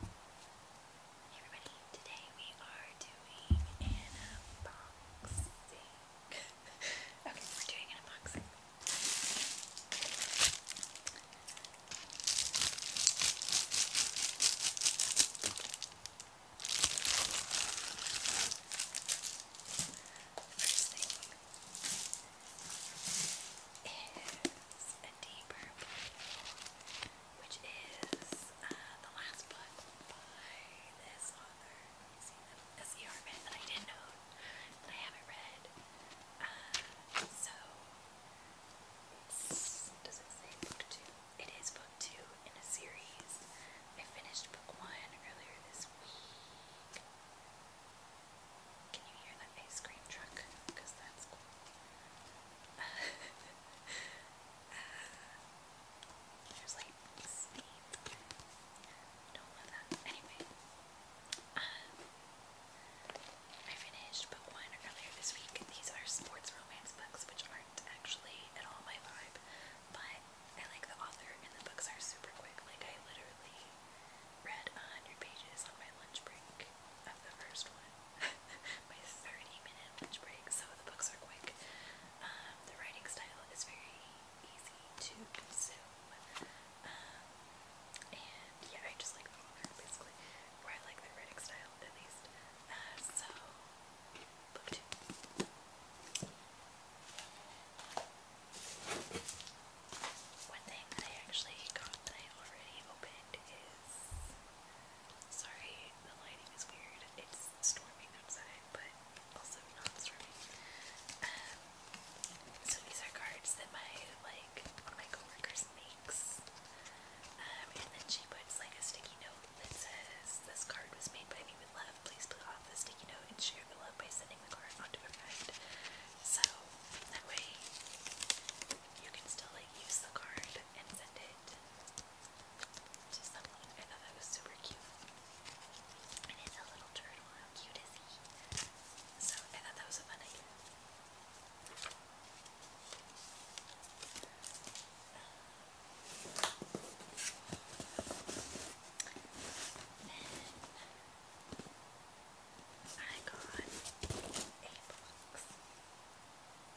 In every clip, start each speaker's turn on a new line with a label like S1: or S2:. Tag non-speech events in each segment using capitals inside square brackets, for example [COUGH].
S1: Hey everybody, today we are doing unboxing. [LAUGHS] okay, we're doing unboxing. The thing is a deeper which is uh, the last book by this author. This Yarman that I didn't know that I haven't read. Uh, so does it say book two? It is book two in a series. I finished book one earlier this week. Can you hear that ice cream truck? Because that's uh, there's like Don't love that. Anyway, um, I finished book one earlier this week. These are sports romance books, which aren't actually at all my vibe, but I like the author, and the books are super quick. Like I literally read a hundred pages on my lunch break of the first one my 30-minute lunch break, so the books are quick. Um, the writing style is very easy to consume, um, and yeah, I just like basically, I like their writing style, at least. Uh, so, book two. One thing that I actually got that I already opened is Sorry, the lighting is weird. It's storming outside, but also not storming. Um, so these are cards that my like my coworkers makes, um, and then she puts like a sticky note that says, "This card was made by me with love. Please put off the sticky note and share the love by sending the card on to a friend." So that way, you can still like use the card and send it to someone. I thought that was super cute. it's a little turtle. How cute is he? So I thought that was a I got a box.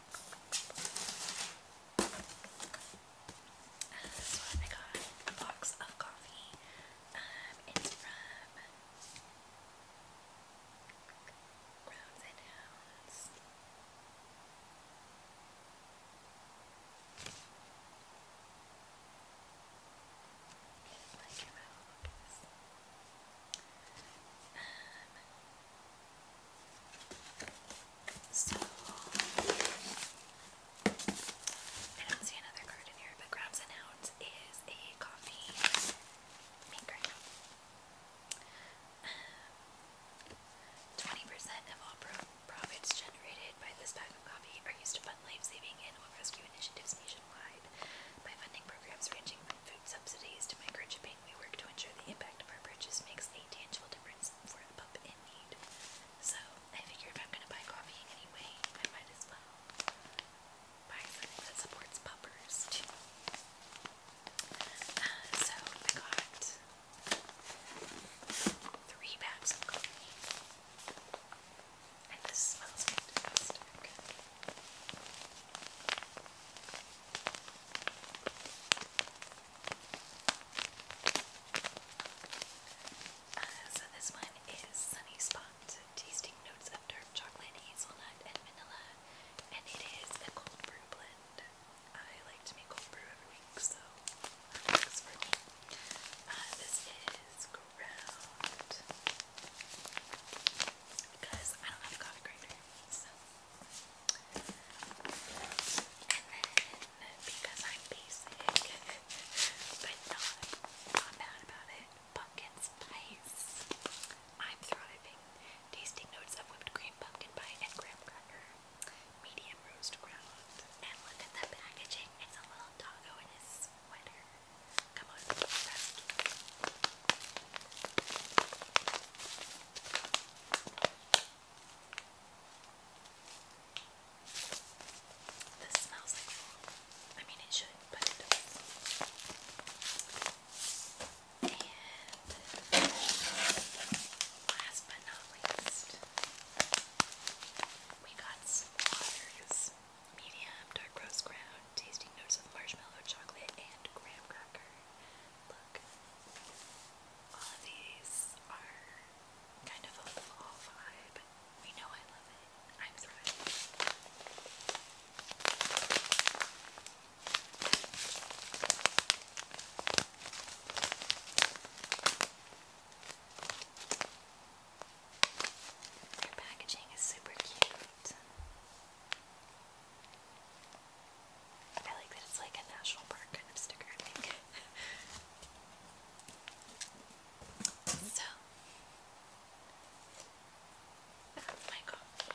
S1: Uh, this one I got a box of coffee. Um, it's from Rounds and Hounds. Like your mouth, I don't see another card in here, but Grabs and Hounds is a coffee maker. Um, twenty percent of all profits generated by this bag of coffee are used to fund lifesaving saving animal rescue initiatives nationwide by funding programs ranging from food subsidies to microchipping we work to ensure the impact of our purchase makes a tangible difference for the pup in need. So, I figure if I'm going to buy coffee in I might as well buy something that supports puppers, uh, so, I got three bags of coffee. And this smells fantastic. Uh, so this one is Sunny Spot, tasting notes of dark chocolate, hazelnut, and vanilla, and it is a cold brew blend. I like to make cold brew every week, so uh, this is ground because I don't have a coffee grinder, so then, because I'm basic, [LAUGHS] but not, not bad about it, pumpkin spice. I'm thriving. Tasting notes of whipped cream, pumpkin pie, and graham cracker. Medium roast ground. And look at the packaging. It's a little doggo in his sweater. Come on, rescue. This smells like I mean, it should, but it does. And last but not least, we got some waters. Medium, dark roast ground, tasting notes of marshmallow, chocolate, and graham cracker. Look, all of these are kind of a fall vibe. We know I love it. I'm thrilled. Their packaging is super cute. I like that it's like a national park kind of sticker, [LAUGHS] so, that's oh my coffee.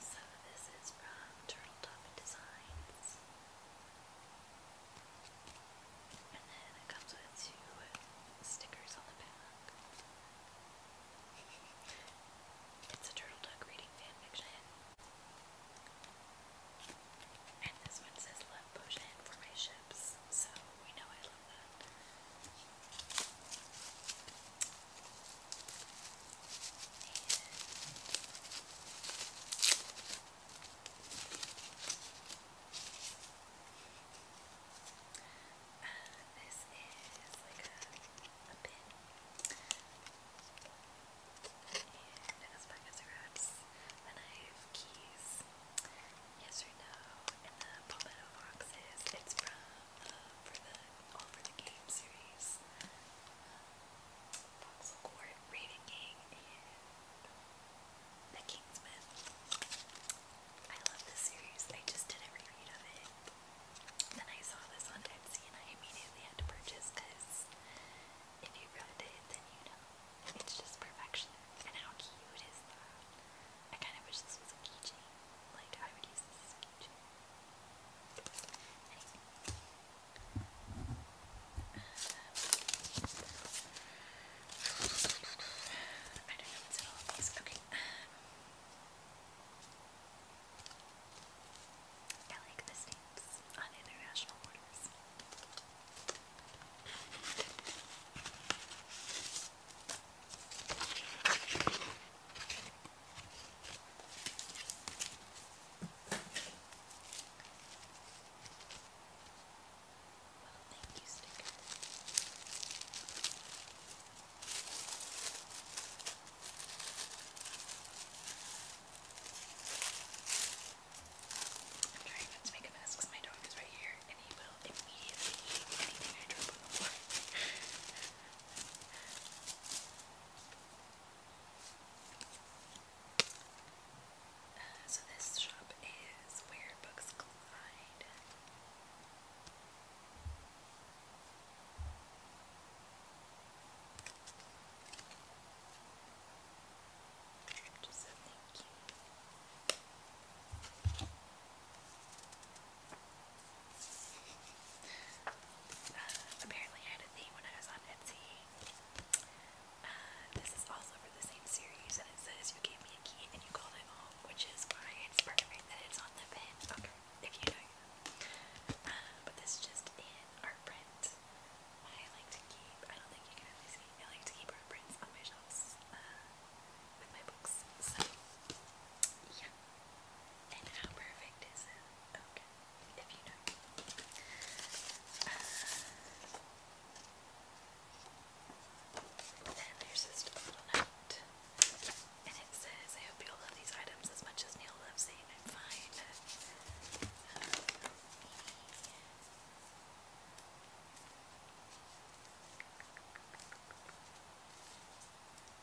S1: Some of this is from Turtle Top Designs. And then it comes with two stickers on the back. it's a Turtle Duck reading fanfiction. And this one says love potion for my ships, so we know I love that uh, this is like a, a pin, and as far as it wraps, the knife, keys, yes or no, and the palmetto boxes. It's from uh, for the all for the game series. Um, Fox Court, Raven King, and The Kingsman. I love this series. I just did a reread of it. Then I saw this on Etsy and I immediately had to purchase because if you've read it, then you know. It's just perfection. And how cute is that? I kind of wish this was a keychain. Like, I would use this as a I don't know what's in all of these. Okay. Um, I like the stamps on international orders. Well, thank you, Sticker. I'm trying not to make a mess because my dog is right here and he will immediately eat anything I drop on the floor. [LAUGHS] Uh, so this shop is where books collide. Just so thank you. Uh, apparently had a thing when I was on Etsy. Uh, this is also for the same series, and it says you gave me a key and you called it home, which is why it's perfect that it's on the pin. Okay, uh, but this just in art print. I like to keep, I don't think you can really see, I like to keep art prints on my shelves uh, with my books. So, yeah. And how perfect is it? Okay back, if you know. note, and it says, I hope you all love these items as much as Neil loves saying I'm and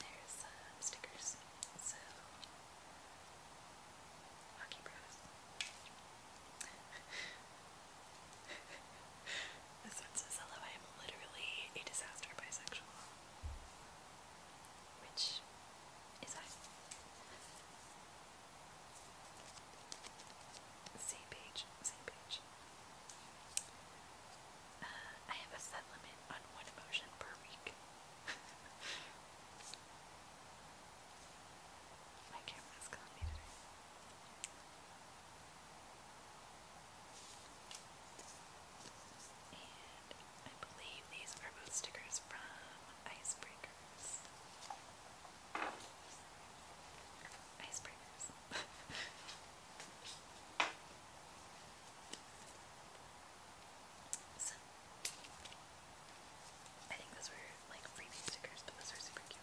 S1: there's um, stickers. So, hockey bros. [LAUGHS] This one says hello. I am literally a disaster bisexual. Which is I. Same page, same page. Uh, I have a set limit on one emotion per week. [LAUGHS] My camera's calling me today. And I believe these are both stickers from Icebreakers. Icebreakers. I think those were like freebie stickers, but those are super cute.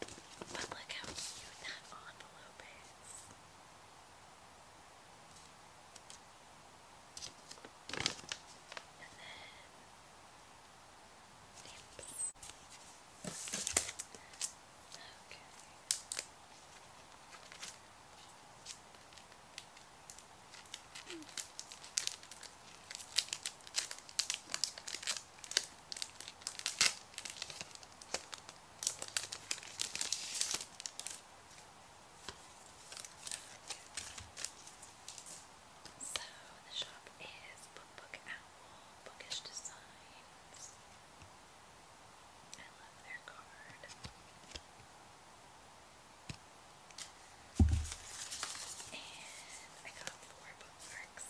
S1: But look how cute that envelope is. And then, oops. Okay. Hmm. So the shop is Book Book Owl, Bookish Designs. I love their card. And I got four bookmarks.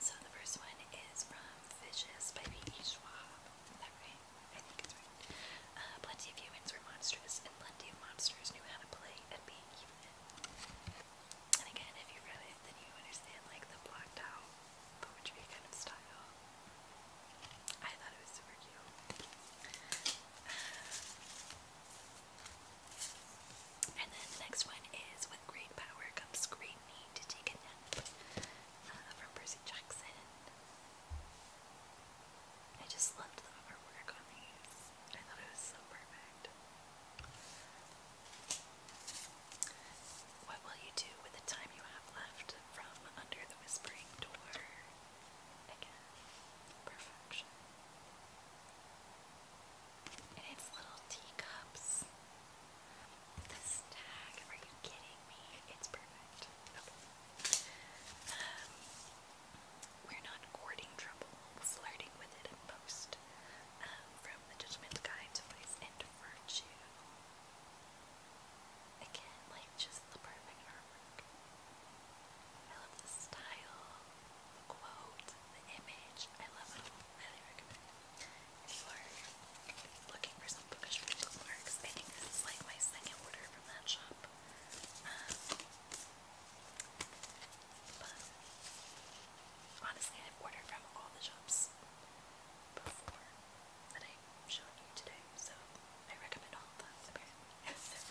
S1: So the first one is from Fishes by V.E. Schwab. Is right? I think it's right. Uh, plenty of humans were monstrous, and plenty of monsters knew how to play at being human. And again, if you read it, then you understand like the blocked out poetry kind of style. I thought it was super cute. Uh, and then the next one is With Great Power Comes Great Need uh, from Percy Jackson. I just loved the artwork on these. I thought it was so perfect. What will you do with the time you have left from under the whispering door? Again, perfection. And it's little teacups. This tag, are you kidding me? It's perfect. Um, we're not courting trouble, flirting with it in post. Um, from the Judgment Guide to Virtue. Again, like just the perfect artwork. I love the style quote, the image. I love it. Highly recommend it. If you are looking for some bookish physical works, I think this is like my second order from that shop. Um, but honestly, I've ordered from all the shops before that I showed you today, so I recommend all of them apparently. [LAUGHS]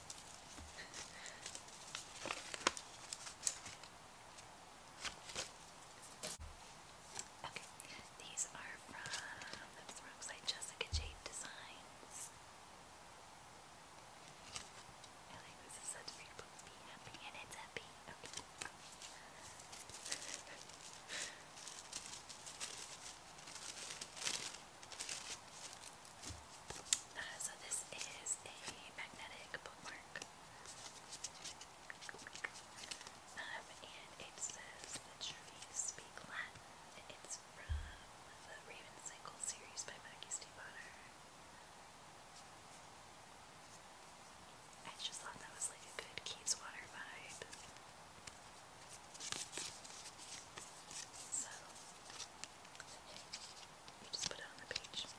S1: Okay, these are from, that's the wrong side, Jessica Jade Designs. I like this is said to make people be happy, and it's happy. Okay. [LAUGHS] Uh, so this is a magnetic bookmark. Um, and it says The Trees Speak Latin. It's from the Raven Cycle series by Maggie Steve I just thought that was like a good Keys Water vibe. So, you just put it on the page. It's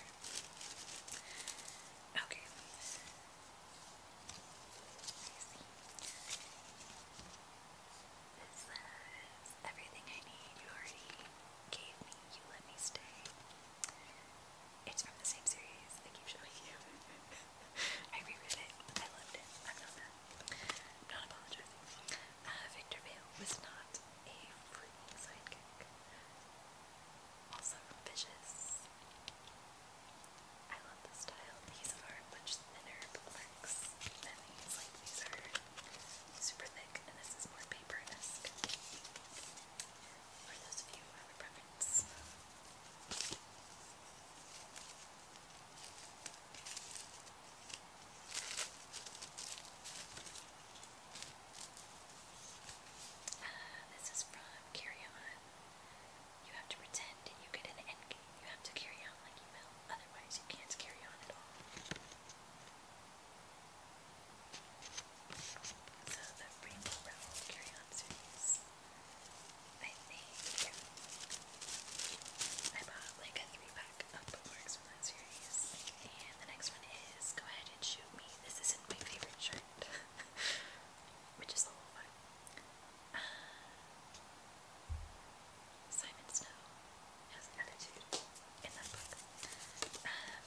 S1: [LAUGHS] Okay. everything I need you already gave me, you let me stay. It's from the same series I keep showing you. [LAUGHS] I reread it. I loved it. I'm not mad. not apologizing. Uh, Victor Vale was not a freaking sidekick also Vicious. I love the style. These are much thinner books than these. Like these are super thick, and this is more paper-esque. For those of you have a this is from Carry On. You have to pretend you get an end You have to carry on like you will, otherwise you can't carry on at all. So the Rainbow Carry On series. I think I bought like a three pack of bookmarks from that series. And the next one is Go Ahead and Shoot Me. This isn't my favorite shirt. [LAUGHS] which is the whole fun. Uh, Simon Snow has attitude in that book. Um,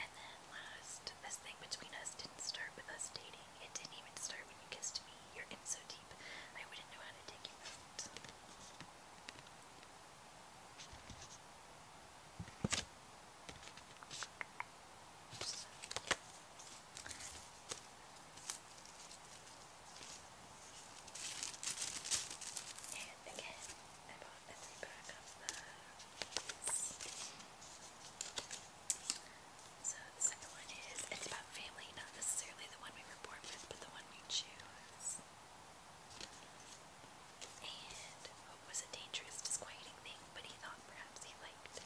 S1: and then last, this thing between us didn't start with us dating. It didn't even start when you kissed me. You're in so deep, I wouldn't know how to take you out. Oops. And again, I bought a three pack of those. So the second one is, it's about family, not necessarily the one we were born with, but the one we choose. So and hope was a dangerous, disquieting thing, but he thought perhaps he liked it.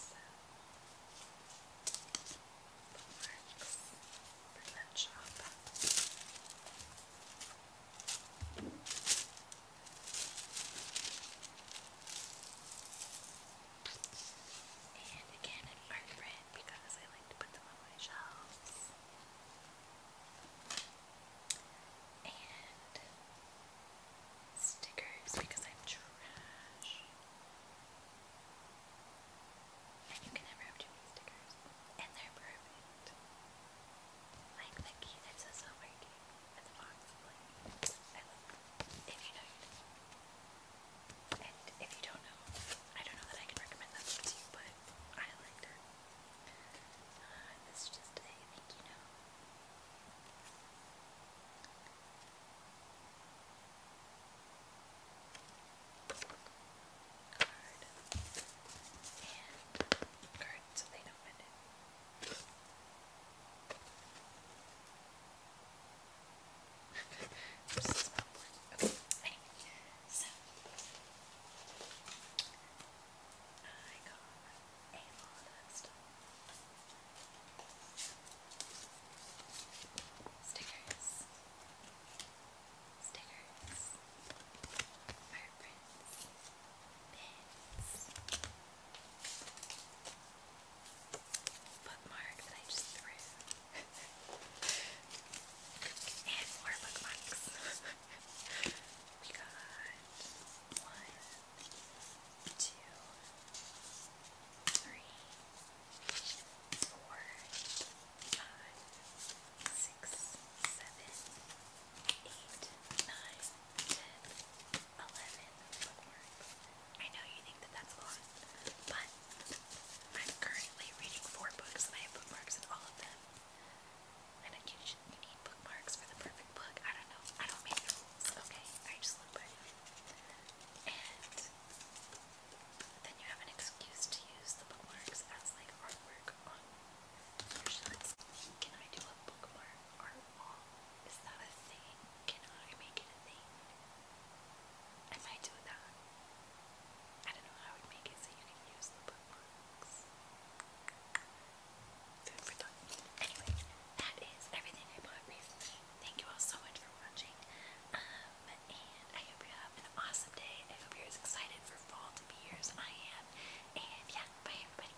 S1: So, bookmarks from that shop. And again, art print because I like to put them on my shelves. And stickers because I'm trash. And you can never have too many stickers. And they're perfect. Like the key that says over key and if you don't know, I don't know that I can recommend that to you, but I liked it. Uh, just a thank you note. Card and card so they don't mend it okay. Anyway, so I got a lot of stuff. Stickers. Stickers. Fire prints. Pins bookmark that I just threw. [LAUGHS] and more bookmarks. [LAUGHS] we got one, two, three, four, five, six, seven, eight, nine, eleven I know you think that that's a lot, but I'm currently reading four books and I have bookmarks in all of them. And you should need bookmarks for the perfect book. I don't know. I don't make rules, okay? I just live by And then you have an excuse to use the bookmarks as like artwork on your shots. Can I do a bookmark art is that a thing? Can I make it a thing? I might that. I don't know how I would make it so you use bookmarks. Food for thought. Anyway, that is everything I bought recently. Thank you all so much for watching. Um, and I hope you have an awesome day. I you're as excited for fall as I am. And yeah, bye everybody.